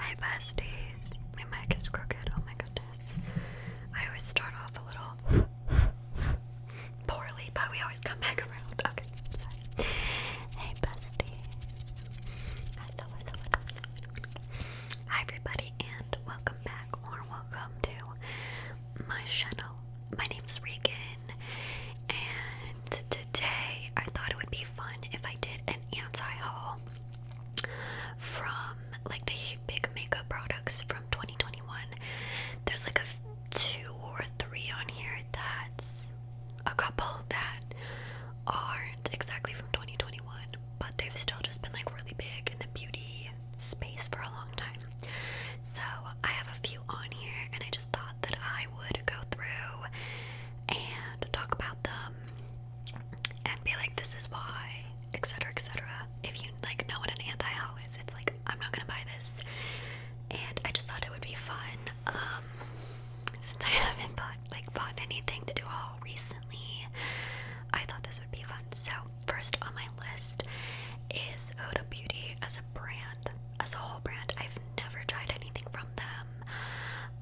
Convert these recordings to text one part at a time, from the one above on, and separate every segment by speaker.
Speaker 1: Hey besties! My mic is crooked, oh my goodness. I always start off a little poorly, but we always come back around. Okay, sorry. Hey besties! Hi everybody, and welcome back or welcome to my channel. My name's Regan, and today I thought it would be fun if I did an anti-haul from like the big makeup products from 2021. There's like a two or three on here that's a couple that aren't exactly from 2021, but they've still just been like really big in the beauty space for a long time. So I have a few on here, and I just thought that I. I would go through and talk about them and be like, this is why, etc., etc. If you like know what an anti-haul is, it's like I'm not gonna buy this. And I just thought it would be fun. Um, since I haven't bought like bought anything to do a haul recently, I thought this would be fun. So first on my list is Huda Beauty as a brand as a whole brand. I've never tried anything from them.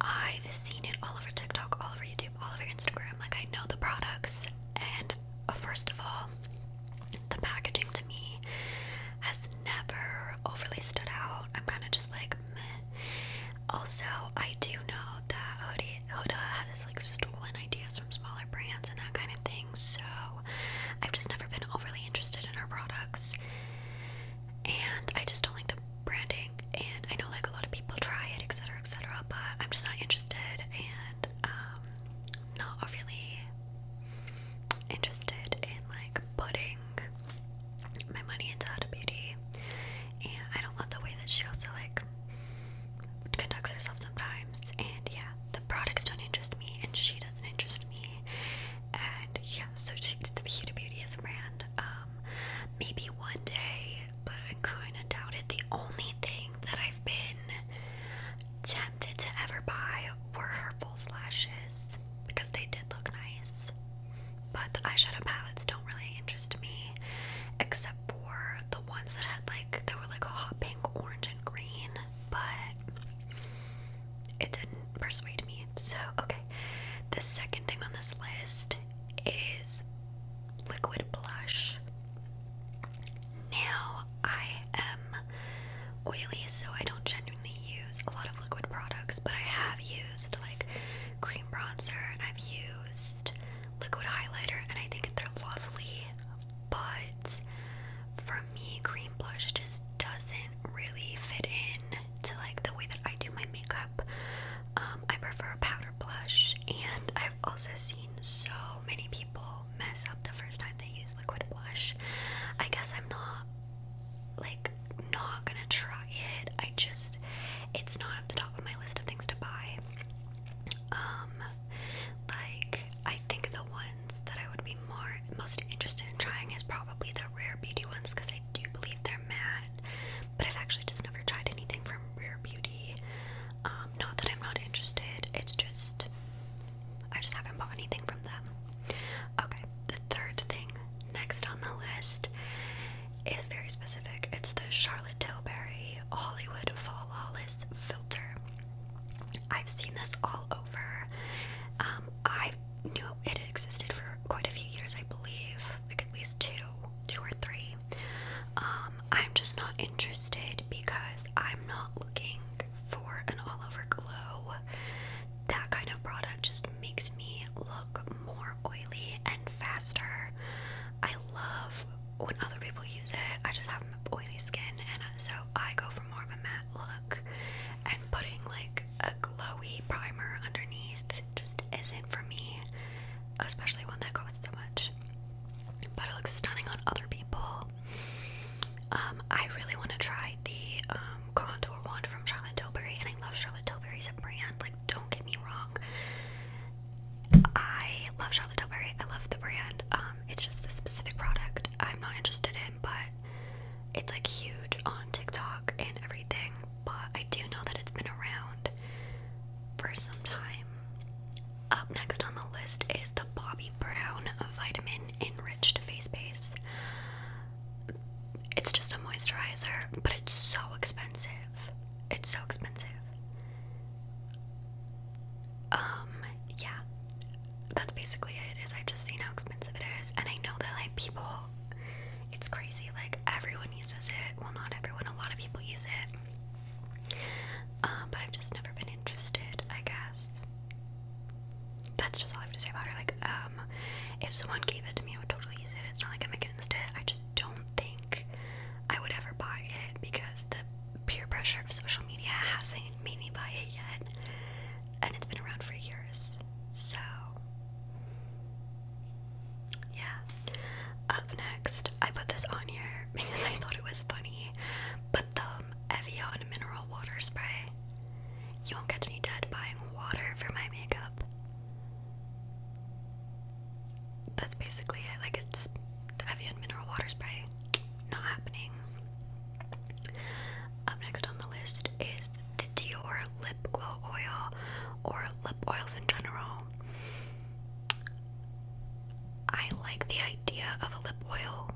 Speaker 1: I've seen it all over TikTok, all over YouTube, all over Instagram. Like, I know the products, and uh, first of all, the packaging to me has never overly stood out. I'm kind of just like, meh. Also, I do know that Huda, Huda has like stolen ideas from smaller brands and that kind of thing, so I've just never been overly interested in her products and I just don't like the branding. And I know like a lot of people try it, etc., etc., but I'm just not interested and um, not overly interested in like putting my money into Huda Beauty. And I don't love the way that she also like conducts herself sometimes. And yeah, the products don't interest me and she doesn't interest me and yeah so she, Huda Beauty is a brand um maybe one day but I kind of doubted. the only thing that I've been tempted to ever buy were her false lashes because they did look nice but the eyeshadow palettes don't really interest me except for the ones that had like they were like a hot pink orange and green but it didn't persuade me. So, okay. The second thing on this list is liquid blush. Now, I am oily, so I don't genuinely use a lot of liquid products, but I have used like cream bronzer and I've used liquid highlighter, and I think they're lovely, but for me, cream blush just doesn't really fit in to like the way that I do my makeup. Um, I prefer powder blush, and I've also seen so many people mess up the first time they use liquid blush. I guess I'm not like not gonna try it. I just it's not at the top of my list of things to buy. Um, like I think the ones that I would be more most interested in trying is probably the Rare Beauty ones because I do believe they're matte. But I've actually just never tried anything from Rare Beauty. Um, not that I'm not interested, it's just I just haven't bought anything from them. Okay, the third thing next on the list is very specific. It's the Charlotte Tilbury Hollywood Flawless Filter. I've seen this all over. Um, I knew it existed for quite a few years, I believe, like at least two, two or three. Um, I'm just not interested because I'm not looking for an all over glow. That kind of product just makes me look more oily and faster. I love when other people use it. I just have oily skin, and so I go for more of a matte look and putting like a glowy primer underneath just isn't for me, especially one that costs so much. But it looks stunning on other people. Um, I really want to try the um, contour wand from Charlotte Tilbury, and I love Charlotte Tilbury's brand. Like, don't get me wrong. I love Charlotte Tilbury. I love the brand. Um, it's just the specific product I'm not interested in but it's like huge on TikTok and everything. But I do know that it's been around for some time. Up next on the list is the Bobbi Brown Vitamin Enriched Face Base. It's just a moisturizer, but it's so expensive. It's so expensive. Um, yeah that's basically it. Is I've just seen how expensive it is, and I know that like people, it's crazy. Like everyone uses it. Well, not everyone. A lot of people use it. Um, but I've just never been interested. I guess that's just all I have to say about it. Like, um, if someone gave it to me, I would totally use it. It's not like I'm against it. I just don't think I would ever buy it because the peer pressure of social media hasn't made me buy it yet, and it's been around for years. So, yeah. Up next, I put this on here because I thought it was funny, but the Evian mineral water spray. You won't catch me dead buying water for my makeup. That's basically it. Like it's Evian mineral water spray not happening. Up next on the list is the Dior Lip Glow Oil or lip oils in general. I like the idea of a lip oil,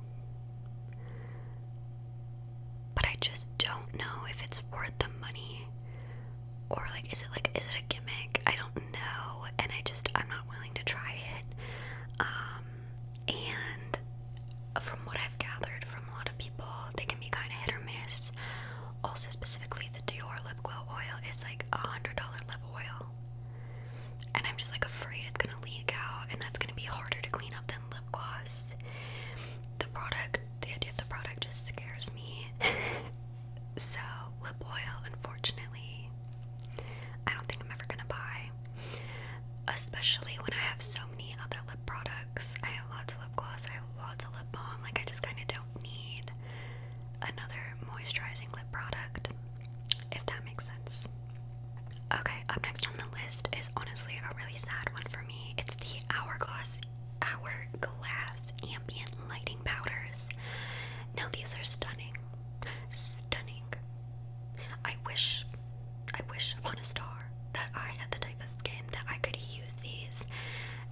Speaker 1: but I just don't know if it's worth the money or like is it like is it a gimmick? I don't know, and I just I'm not willing to try it. Um and from what I've gathered from a lot of people, they can be kind of hit or miss. Also, specifically, the Dior lip glow oil is like a hundred dollar lip oil, and I'm just like afraid it's gonna leak out, and that's gonna be harder to clean up than lip gloss. The product, the idea of the product, just scares me. so, lip oil, unfortunately, I don't think I'm ever gonna buy especially when I have so many other lip products. I have lots of lip gloss, I have lots of lip balm. Like, I just kind of don't need another moisturizing lip product, if that makes sense. Okay, up next on the list is honestly a really sad one for me. It's the Hourglass Hourglass Ambient Lighting Powders. Now, these are stunning. Stunning. I wish, I wish upon a star that I had the type of skin that I could use these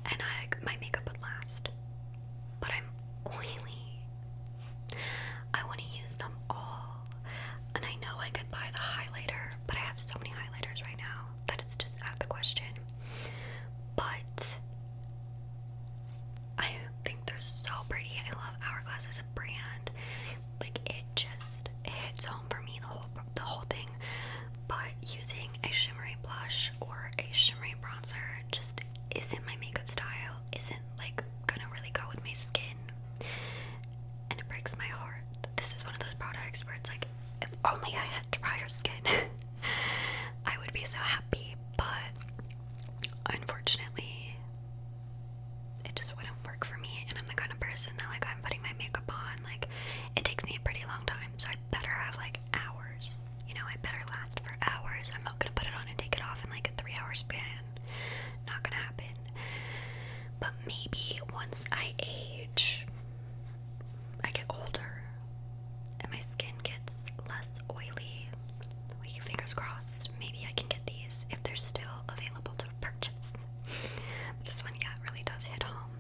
Speaker 1: and I, my makeup would last. But I'm oily. I want to use them all. And I know I could buy the highlighter, but I have so many highlighters right now that it's just out of the question. But I think they're so pretty. I love Hourglass as a brand. Like it just hits home for me the whole the whole thing. But using a shimmery blush or a shimmery bronzer just isn't my makeup style. Isn't like gonna really go with my skin. And it breaks my heart. This is one of those products where it's like, if only I had drier skin, I would be so happy. But unfortunately, it just wouldn't work for me and I'm the kind of person that like I'm putting my makeup on like it takes me a pretty long time so I better have like hours you know I better last for hours I'm not gonna put it on and take it off in like a three hours span not gonna happen but maybe once I age I get older and my skin gets less oily. We fingers crossed. Maybe I can get these if they're still available to purchase. this one, yeah, really does hit home,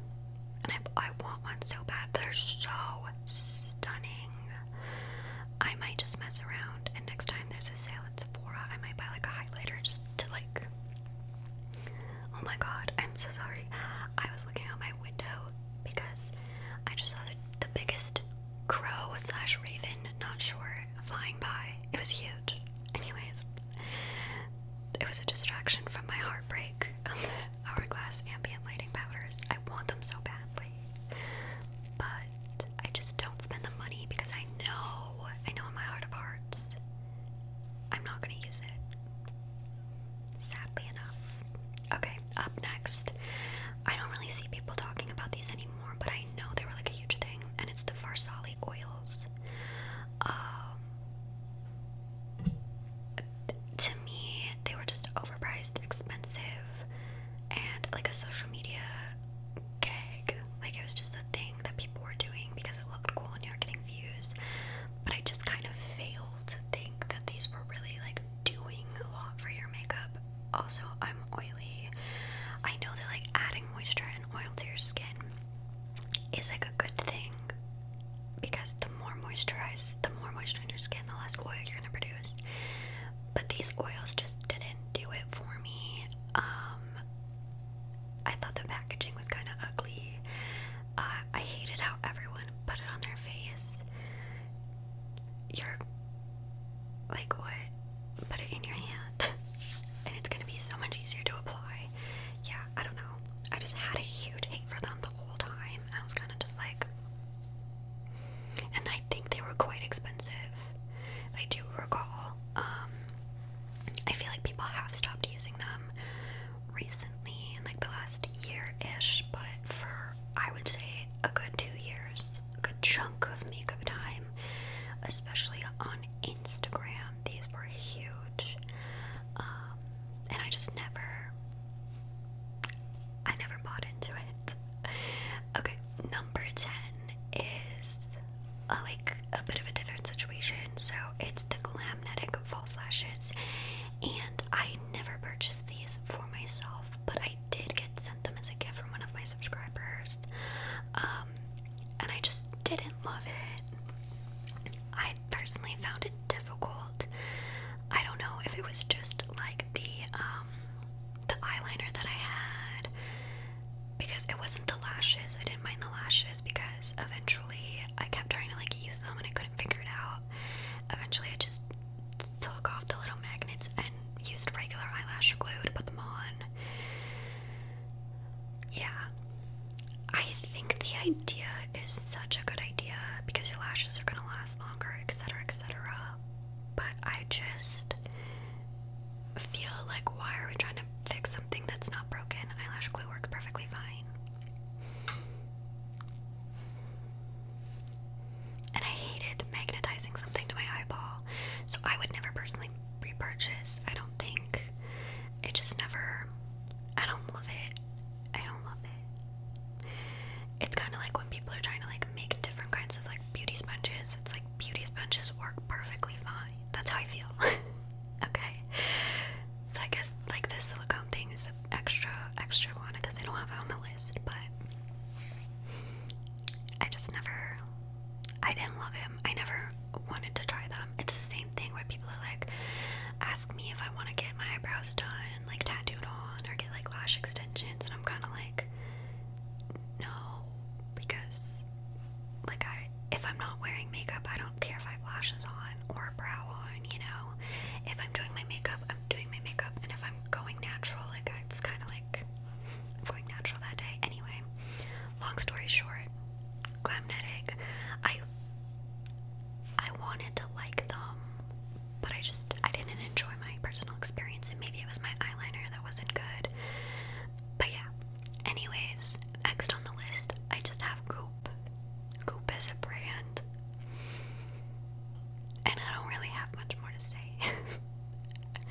Speaker 1: and I, want one so bad. They're so stunning. I might just mess around, and next time there's a sale at Sephora, I might buy like a highlighter just to like. Oh my god, I'm so sorry. I was looking out my window because I just saw the biggest crow slash raven, not sure, flying by. It was huge. Anyways, it was a distraction from my heartbreak Hourglass ambient lighting powders. I want them so badly, but I just don't spend the money because I know, I know in my heart of hearts, I'm not gonna use it. Sadly enough. Okay, up next. I don't really see people talking about these anymore, but I know they were like a huge thing, and it's the Varsali oils. Um, to me, they were just overpriced, expensive, and like a social media gag. Like it was just a thing that people were doing because it looked cool and you were getting views. But I just kind of failed to think that these were really like doing a lot for your makeup also I'm oily. I know that like adding moisture and oil to your skin is like a good thing because the more moisturized, the more moisture in your skin, the less oil you're gonna produce. But these oils just didn't do it for me. Um, I thought the packaging was kind of ugly. Uh, I hated how everyone put it on their face your like what? Put it in your hand, and it's gonna be so much easier to apply. Yeah, I don't know. I just had a huge hate for them the whole time. I was kind of just like, and I think they were quite expensive. I do recall. Um, I feel like people have stopped using them recently, in like the last year ish, but for I would say a good two years, a good chunk of makeup time, especially on Instagram. These were huge, um, and I just never, I never bought into it. Okay, number ten is a, uh, like a bit of a different situation. So it's the Glamnetic false lashes, and I never purchased these for myself, but I I did get sent them as a gift from one of my subscribers, um, and I just didn't love it. I personally found it difficult. I don't know if it was just like the um, the eyeliner that I had, because it wasn't the lashes. I didn't mind the lashes because eventually I kept trying to like use them and I couldn't figure it out. Eventually, I just took off the little magnets and used regular eyelash glue to put them on. Yeah. I think the idea is such a good idea because your lashes are going to last longer, etc., etc. But I just feel like why are we trying to fix something that's not broken? Eyelash glue works perfectly fine. And I hated magnetizing something to my eyeball, so I would never personally repurchase. I don't think. It just never. I don't love it. I don't love it. It's kind of like when people are trying to like make different kinds of like beauty sponges. It's like beauty sponges work perfectly fine. That's how I feel. okay. So I guess like this silicone thing extra extra one because they don't have it on the list, but I just never I didn't love him. I never wanted to try them. It's the same thing where people are like ask me if I want to get my eyebrows done, like tattooed on or get like lash extensions and I'm kind of like no because like I if I'm not wearing makeup, I don't care if I have lashes on or a brow on, you know. If I'm doing my makeup, I'm I'm doing my makeup and if I'm going natural, like it's kind of like going natural that day. Anyway, long story short, Glamnetic, I I wanted to like them, but I just I didn't enjoy my personal experience and maybe it was my eyeliner that wasn't good. But yeah. Anyways, next on the list, I just have Goop. Goop is a brand and I don't really have much more to say.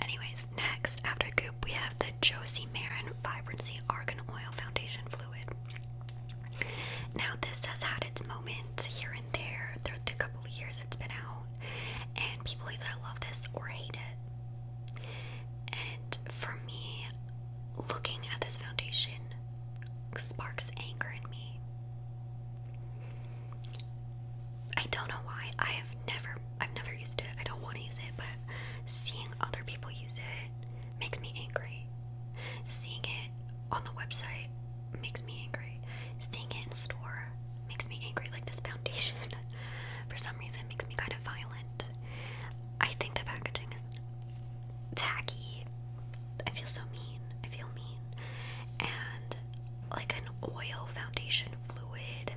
Speaker 1: Anyways, next, after Goop, we have the Josie Marin Vibrancy Argan Oil Foundation Fluid. Now, this has had its moment here and there through the couple of years it's been out, and people either love this or hate it. And for me, looking at this foundation sparks anger in me I don't know why. I have never I've never used it. I don't want to use it, but seeing other people use it makes me angry. Seeing it on the website makes me angry. Seeing it in store makes me angry. Like this foundation for some reason makes me kind of violent. I think the packaging is tacky. I feel so mean. I feel mean. And like an oil foundation fluid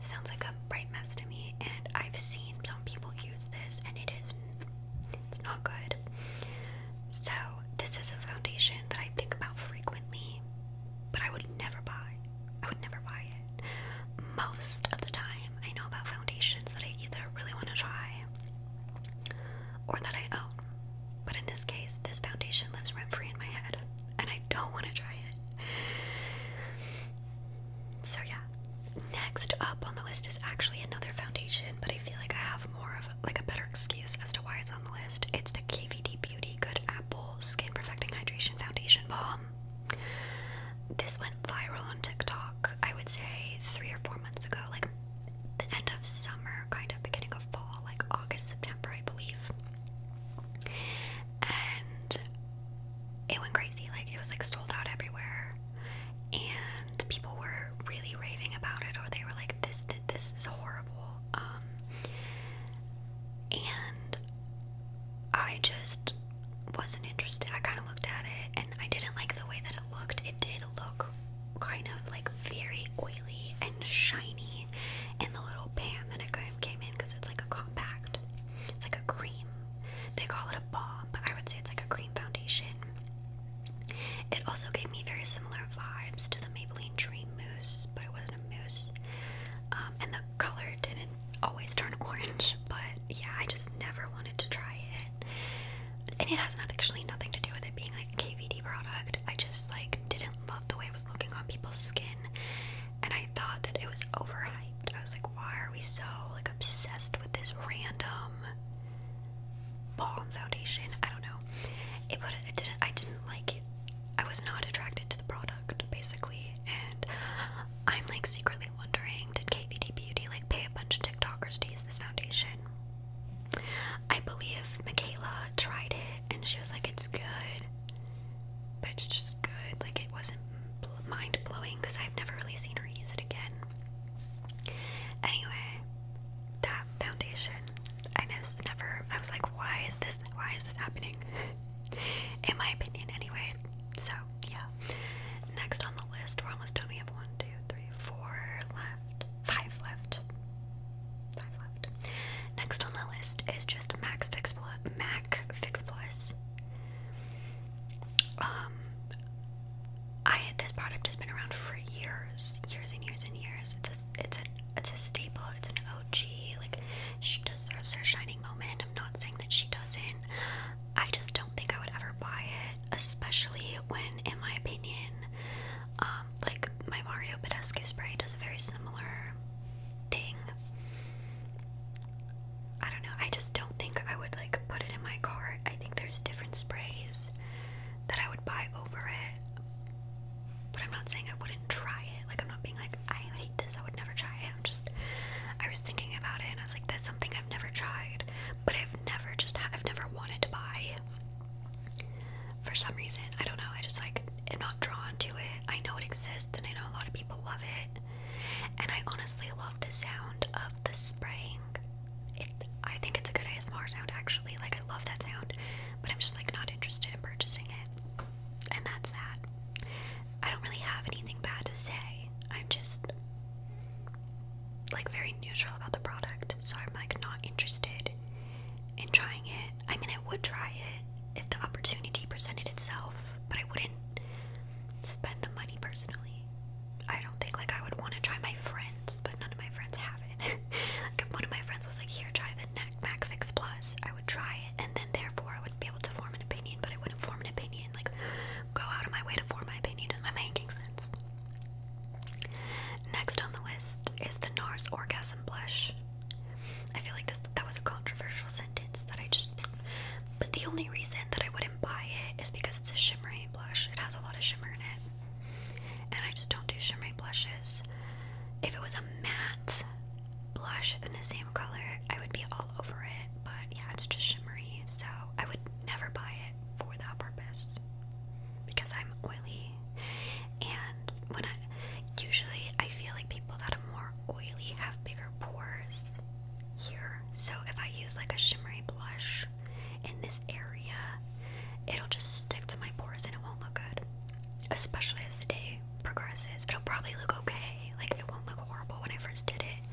Speaker 1: sounds like a bright mess to me. And I've seen some people use this, and it is it's not good. So this is a foundation that I think about frequently, but I would never buy. I would never buy it. Most of the time, I know about foundations that I either really want to try or that I own. But in this case, this foundation lives rent free in my head, and I don't want to try it. So, yeah. Next up on the list is actually another foundation, but I feel like I have more of like a better excuse as to why it's on the list. It's the KVD Beauty Good Apple Skin Perfecting Hydration Foundation Balm. This went viral on TikTok, I would say three or four months ago, like the end of summer, kind of beginning of fall, like August, September, I believe. And it went crazy. Like it was like sold out everywhere, and people were really raving about it, or they were like, "This, th this is horrible." Um, and I just wasn't interested. I kind of looked at it, and I didn't like the way that it looked. It did kind of like very oily and shiny in the little pan that it kind of came in because it's like a compact. It's like a cream. They call it a balm, I would say it's like a cream foundation. It also gave me very similar vibes to the Maybelline Dream Mousse, but it wasn't a mousse. Um, and the color didn't always turn orange, but yeah, I just never wanted to try it. And it has nothing, actually nothing to do with it being like a KVD product. I just like didn't love the way it was looking on people's skin, and I thought that it was overhyped. I was like, why are we so like obsessed with this random balm foundation? I don't know. It but it didn't. I didn't like it. I was not attracted to the product basically, and I'm like secretly wondering, did KVD Beauty like pay a bunch of TikTokers to use this foundation? I believe Michaela tried it and she was like, it's good, but it's just good. Like, it wasn't mind blowing because I've never really seen her use it again. Anyway, that foundation, I just never, I was like, why is this, why is this happening? In my opinion, anyway. So, yeah. Next on the list, we're almost done. We have one, two, three, four left. Five left. Five left. Next on the list is just Max Fix Plus. Mac Fix Plus. Um, I this product has been around for years, years and years and years. It's a it's a it's a staple. It's an OG. Like she deserves her shining moment. I'm not saying that she doesn't. I just don't think I would ever buy it especially when, in my opinion, um, like my Mario Badescu spray does a very similar thing. I don't know. I just don't think I would like put it in my cart. I think there's different sprays that I would buy over it. But I'm not saying I wouldn't try it. Like I'm not being like I hate this. I would never try it. I'm just I was thinking about it and I was like that's something I've never tried, but I've i never just I've never wanted to buy. For some reason, I don't know. I just like am not drawn to it. I know it exists, and I know a lot of people love it. And I honestly love the sound of the spraying. It, I think it's a good ASMR sound actually. Like I love that sound, but I'm just like not interested in purchasing it. And that's that. I don't really have anything bad to say. I'm just like very neutral about the product, so I'm like not interested in trying it. I mean, I would try it if the opportunity presented itself, but I wouldn't spend the money personally. I don't think like I would want to try my friends, but none of my friends have it. like if one of my friends was like, "Here, try the Neck Mac Fix Plus," I would try it, and then therefore I would be able to form an opinion, but I wouldn't form an opinion like go out of my way to form my opinion. Am I making sense? Next on the list is the NARS Orgasm Blush. I feel like this, that was a controversial sentence that I just. But the only reason that I wouldn't buy it is because it's a shimmery blush. It has a lot of shimmer in it. And I just don't do shimmery blushes. If it was a matte blush in the same color, I would be all over it. But yeah, it's just shimmery. So I would never buy it for that purpose because I'm oily and when I usually I feel like people that are more oily have bigger pores here. So if I use like a shimmery blush in this area, it'll just stick to my pores and it won't look good. Especially as the day progresses. It'll probably look okay. Like it won't look horrible when I first did it it.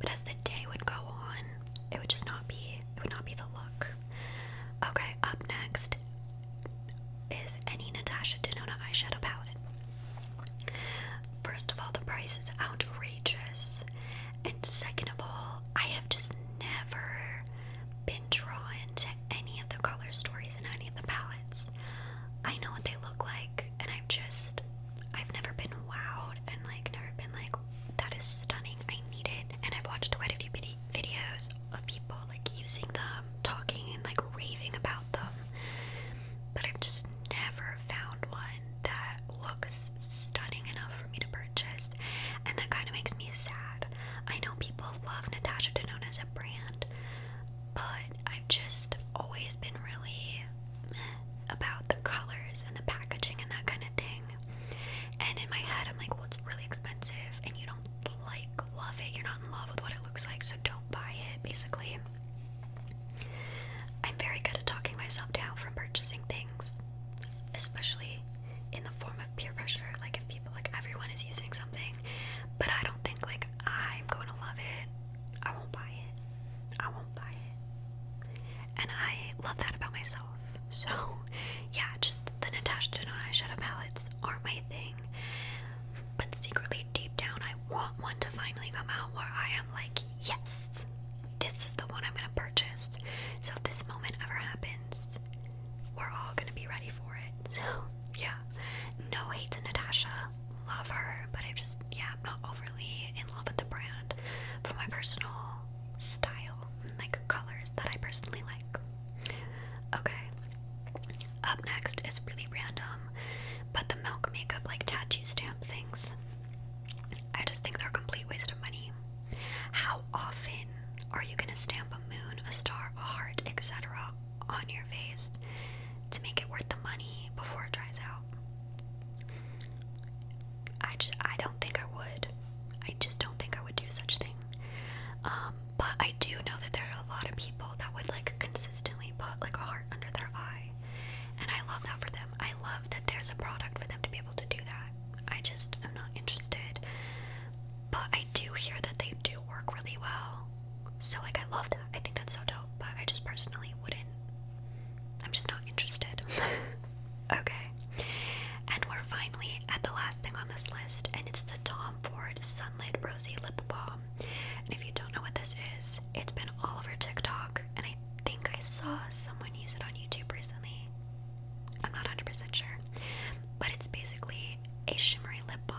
Speaker 1: But as the day would go on, it would just not be it would not be the look. Okay, up next is any Natasha Denona eyeshadow palette. First of all, the price is outrageous. And second of all, I have just never been drawn to any of the color stories and any of the palettes. I know what they look like and I've just, I've never been wowed and like never been like, that is stunning, I need it. And I've watched quite a few videos of people like using them, talking and like raving about them, but I've just never found one that looks stunning enough for me to purchase. And that kind of makes me sad. I know people love Natasha Denona as a brand, but I've just always been really about the colors and the packaging and that kind of thing. And in my head, I'm like, well, it's really expensive, and you don't like love it. You're not in love with what it looks like, so don't buy it. Basically, I'm very good at talking myself down from purchasing things, especially in the form of peer pressure. Like if people, like everyone is using something, but I don't think like I'm going to love it I won't buy it. I won't buy it. And I love that about myself. So, yeah, just the Natasha Denona eyeshadow palettes are my thing. But secretly, deep down, I want one to finally come out where I am like, yes, this is the one I'm gonna purchase. So, if this moment ever happens, we're all gonna be ready for it. So, yeah, no hate to Natasha love her, but I just, yeah, am not overly in love with the brand for my personal style, like colors that I personally like. Okay, up next is really random, but the Milk Makeup, like tattoo stamp things, I just think they're a complete waste of money. How often are you gonna stamp a moon, a star, a heart, etc., on your face to make it worth the money before it dries out? I just, I don't think I would. I just don't think I would do such thing. Um, but I do know that there are a lot of people that would like consistently put like a heart under their eye, and I love that for them. I love that there's a product for them to be able to do that. I just am not interested. But I do hear that they do work really well. So like I love that. I think that's so dope. But I just personally wouldn't I'm just not interested. okay. And we're finally at the last thing on this list, and it's the Tom Ford Sunlit Rosy Lip Balm. And if you don't know what this is, it's been all over TikTok, and I think I saw someone use it on YouTube recently. I'm not 100% sure. But it's basically a shimmery lip balm.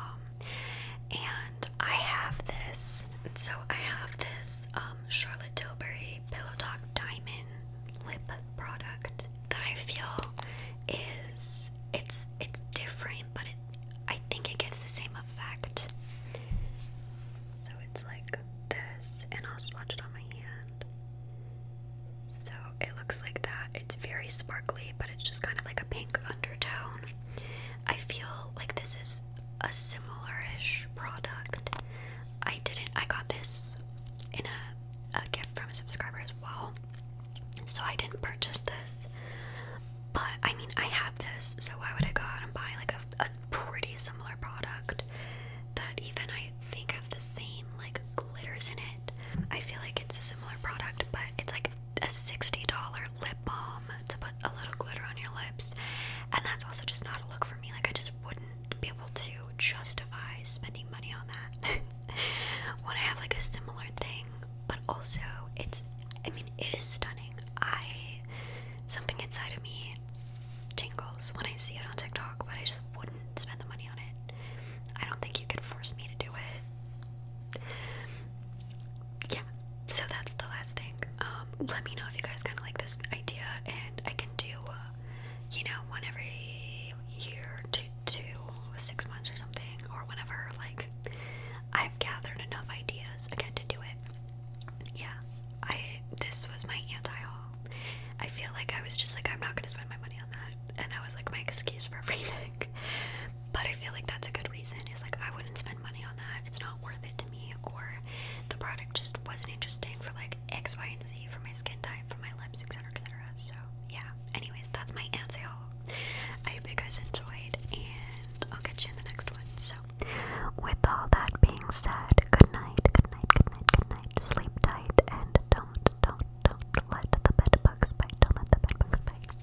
Speaker 1: And I have this this. So I have this um, Charlotte Tilbury Pillow Talk Diamond Lip product that I feel is it's it's different, but it I think it gives the same effect. So it's like this, and I'll swatch it on my hand. So it looks like that. It's very sparkly, but it's just kind of like a pink undertone. I feel like this is a similar-ish product. I didn't I got this in a, a gift from a subscriber as well. So I didn't purchase this. But I mean I have this, so why would I go out and buy like a, a pretty similar product that even I think has the same like glitters in it. I feel like it's a similar product, but it's like a $60 lip balm to put a little glitter on your lips. And that's also just not a look for me. Like, I just wouldn't be able to justify spending money on that. Want to have like a similar thing, but also it's, I mean, it is stunning. I, something inside of me tingles when I see it on TikTok, but I just wouldn't spend the money on it. I don't think you could force me to do it yeah, so that's the last thing. Um, let me know if you guys kind of like this idea, and I can do, uh, you know, one every year to two, six months or something, or whenever, like, I've gathered enough ideas again to do it. Yeah, I this was my anti-haul. I feel like I was just like, I'm not gonna spend my money on that, and that was like my excuse for everything. but I feel like that's a good reason. Is like I wouldn't spend money on that. It's not worth it to me, or the product just wasn't interesting for like X, Y, and Z for my skin type, for my lips, etc., etc. So yeah. Anyways, that's my answer. I hope you guys enjoyed, and I'll catch you in the next one. So, with all that being said, good night, good night, good night, good night. Sleep tight, and don't, don't, don't let the bed bugs bite. Don't let the bed bugs bite.